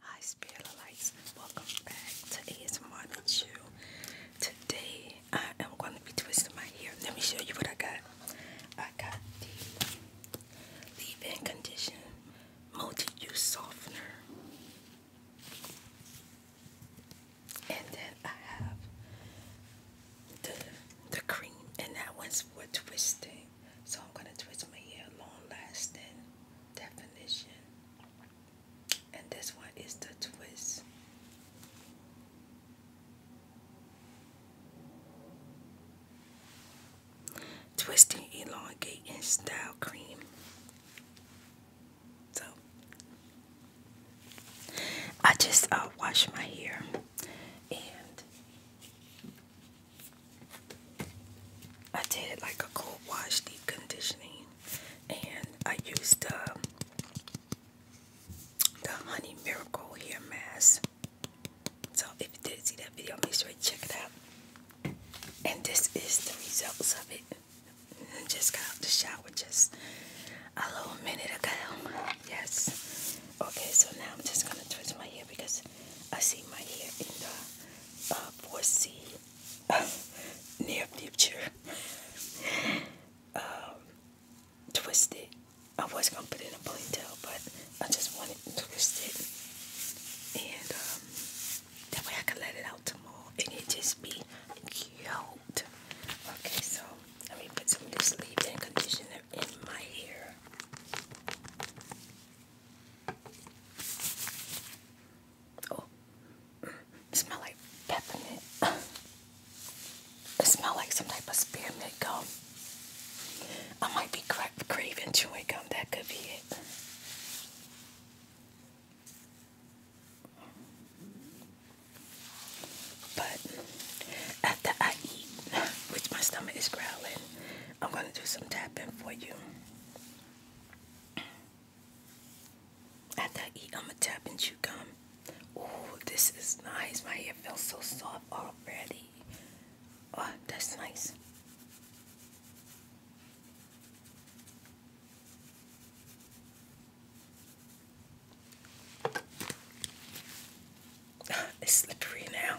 Hi Spirit Lights, welcome back to ASMR and Chill. Today I am going to be twisting my hair. Let me show you what I got. I got the leave-in condition multi-use softener. And then I have the the cream and that one's for twisting. So I'm going to twist my hair long lasting definition. And this one is the twist. Twisting elongating style cream. So I just uh, washed my hair and I did like a cold wash deep conditioning and I used uh, the honey miracle hair mask. So if you did see that video, make sure you check it out. And this is the results of it. Just got out the shower just a little minute ago. Yes. Okay, so now I'm just gonna twist my hair because I see my hair in the uh, foresee near future. um, twisted. I was gonna put in a ponytail, but I just want to twist it, and um, that way I can let it out tomorrow, and it just be cute. Okay, so let me put some leave-in conditioner in my hair. Oh, it like peppermint. It like some type of spearmint gum. I might be craving chewing gum. That could be it. But after I eat, which my stomach is growling, I'm going to do some tapping for you. After I eat, I'm gonna tap and chew gum. Oh, this is nice. My hair feels so soft already. Oh, that's nice. It's slippery now.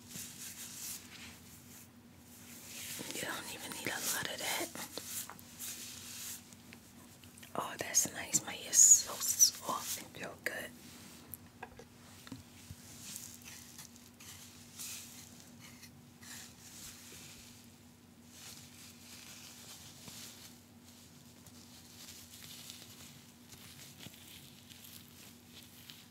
You don't even need a lot of that. Oh, that's nice. My ear's so soft feel good.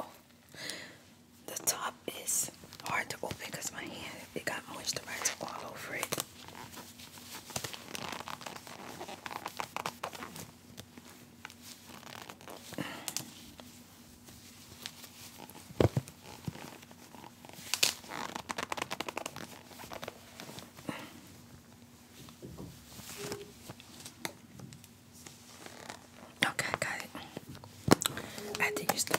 oh. The top is hard to open because my hand it got moisturizer all over it. Okay, I got it. I had to use the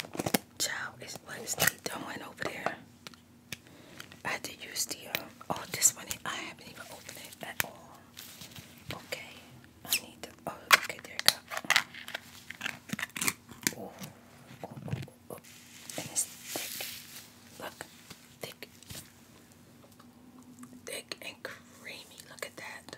child. Is what is he doing over there? I had use the uh, oh this one I haven't even opened it at all. Okay, I need to. Oh, okay, there it goes and it's thick. Look, thick. Thick and creamy. Look at that.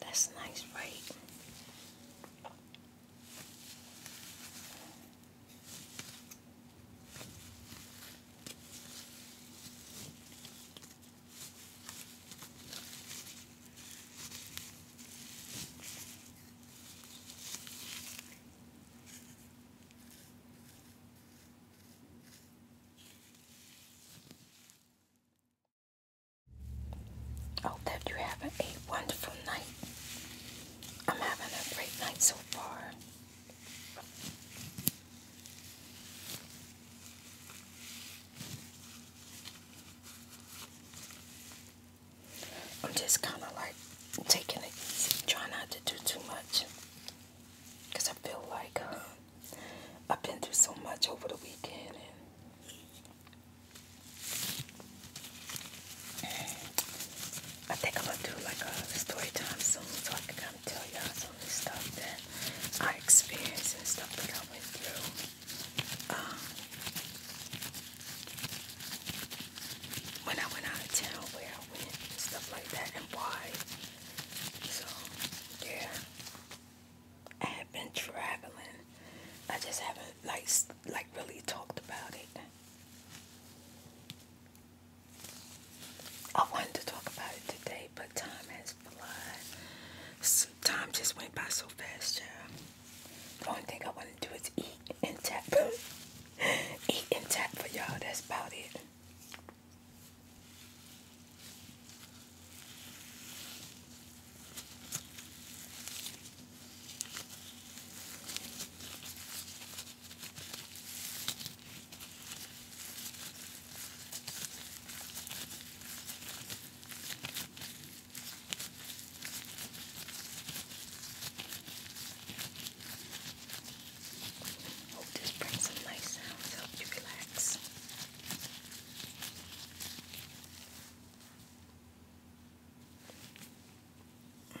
That's nice, right? Hope oh, that you're a wonderful night. I'm having a great night so far. I'm just kind of like taking it easy, trying not to do too much. Because I feel like uh, I've been through so much over the weekend. I think I'm going to do like a story time soon so I can come tell y'all definitely stuff that I experienced and stuff that I went through. Um, when I went out of town, where I went, stuff like that, and why. So, yeah. I have been traveling. I just haven't, like, like really talked about it. I wanted to talk about it today, but time has Time just went by so fast, y'all. The only thing I want to do is eat and tap. eat and tap for y'all. That's about it. Hope this brings some nice sounds, help you relax. Mm. Mm.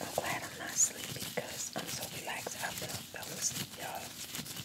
I'm glad I'm not sleepy because I'm so relaxed. I fell asleep, y'all.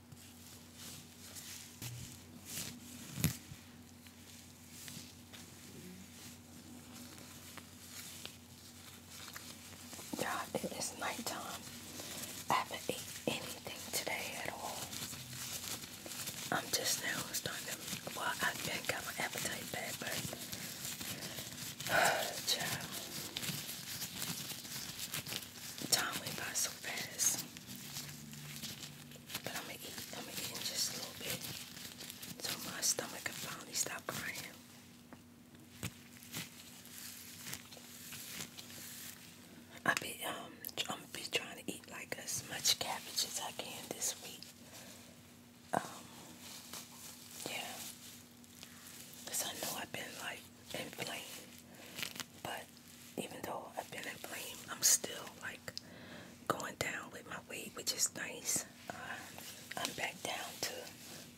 God, it is nighttime. I haven't eaten anything today at all. I'm just now starting to, well, I have got my appetite back, but, child time went by so fast. But I'm gonna eat, I'm gonna eat just a little bit so my stomach can finally stop crying. I'll be um I'm gonna trying to eat like as much cabbage as I can this week. Um yeah. I know I've been like and But even though I've been in I'm still like going down with my weight, which is nice. Uh, I'm back down to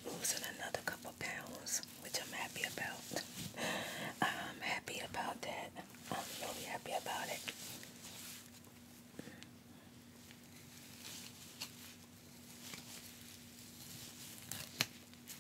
losing another couple pounds, which I'm happy about. I'm happy about that. I'm really happy about it.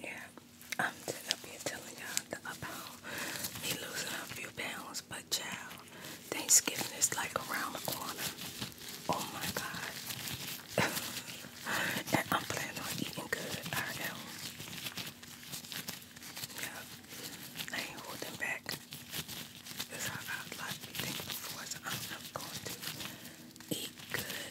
Yeah, I'm up here telling y'all about me losing a few pounds, but child, Thanksgiving is like around the corner. Oh my God. and I'm planning on eating good, I am. Yeah, I ain't holding back. That's how I like to be thinking for, so I'm not going to eat good.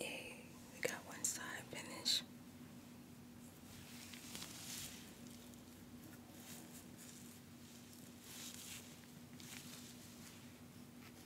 Yay, we got one side finished.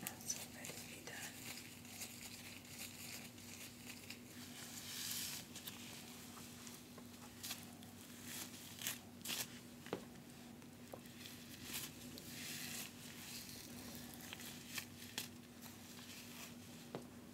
That's all ready to be done.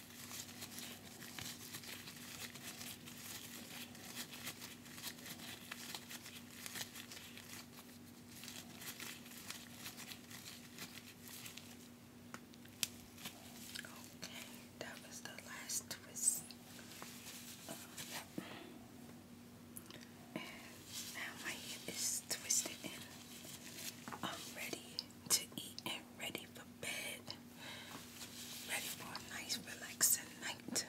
Okay, that was the last twist. and now my head is twisted and I'm ready to eat ready for bed, ready for a nice, relaxing night.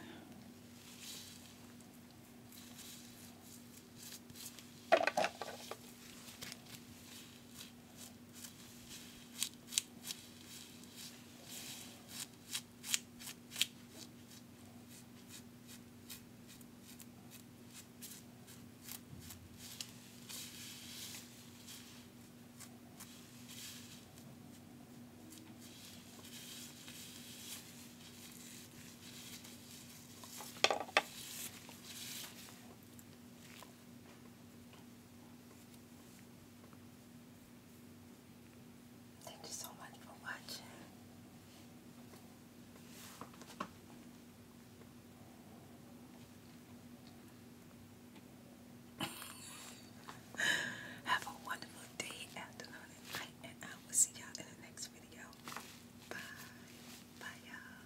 Thank you so much for watching. Have a wonderful day, afternoon, and and I will see y'all in the next video. Bye. Bye, y'all.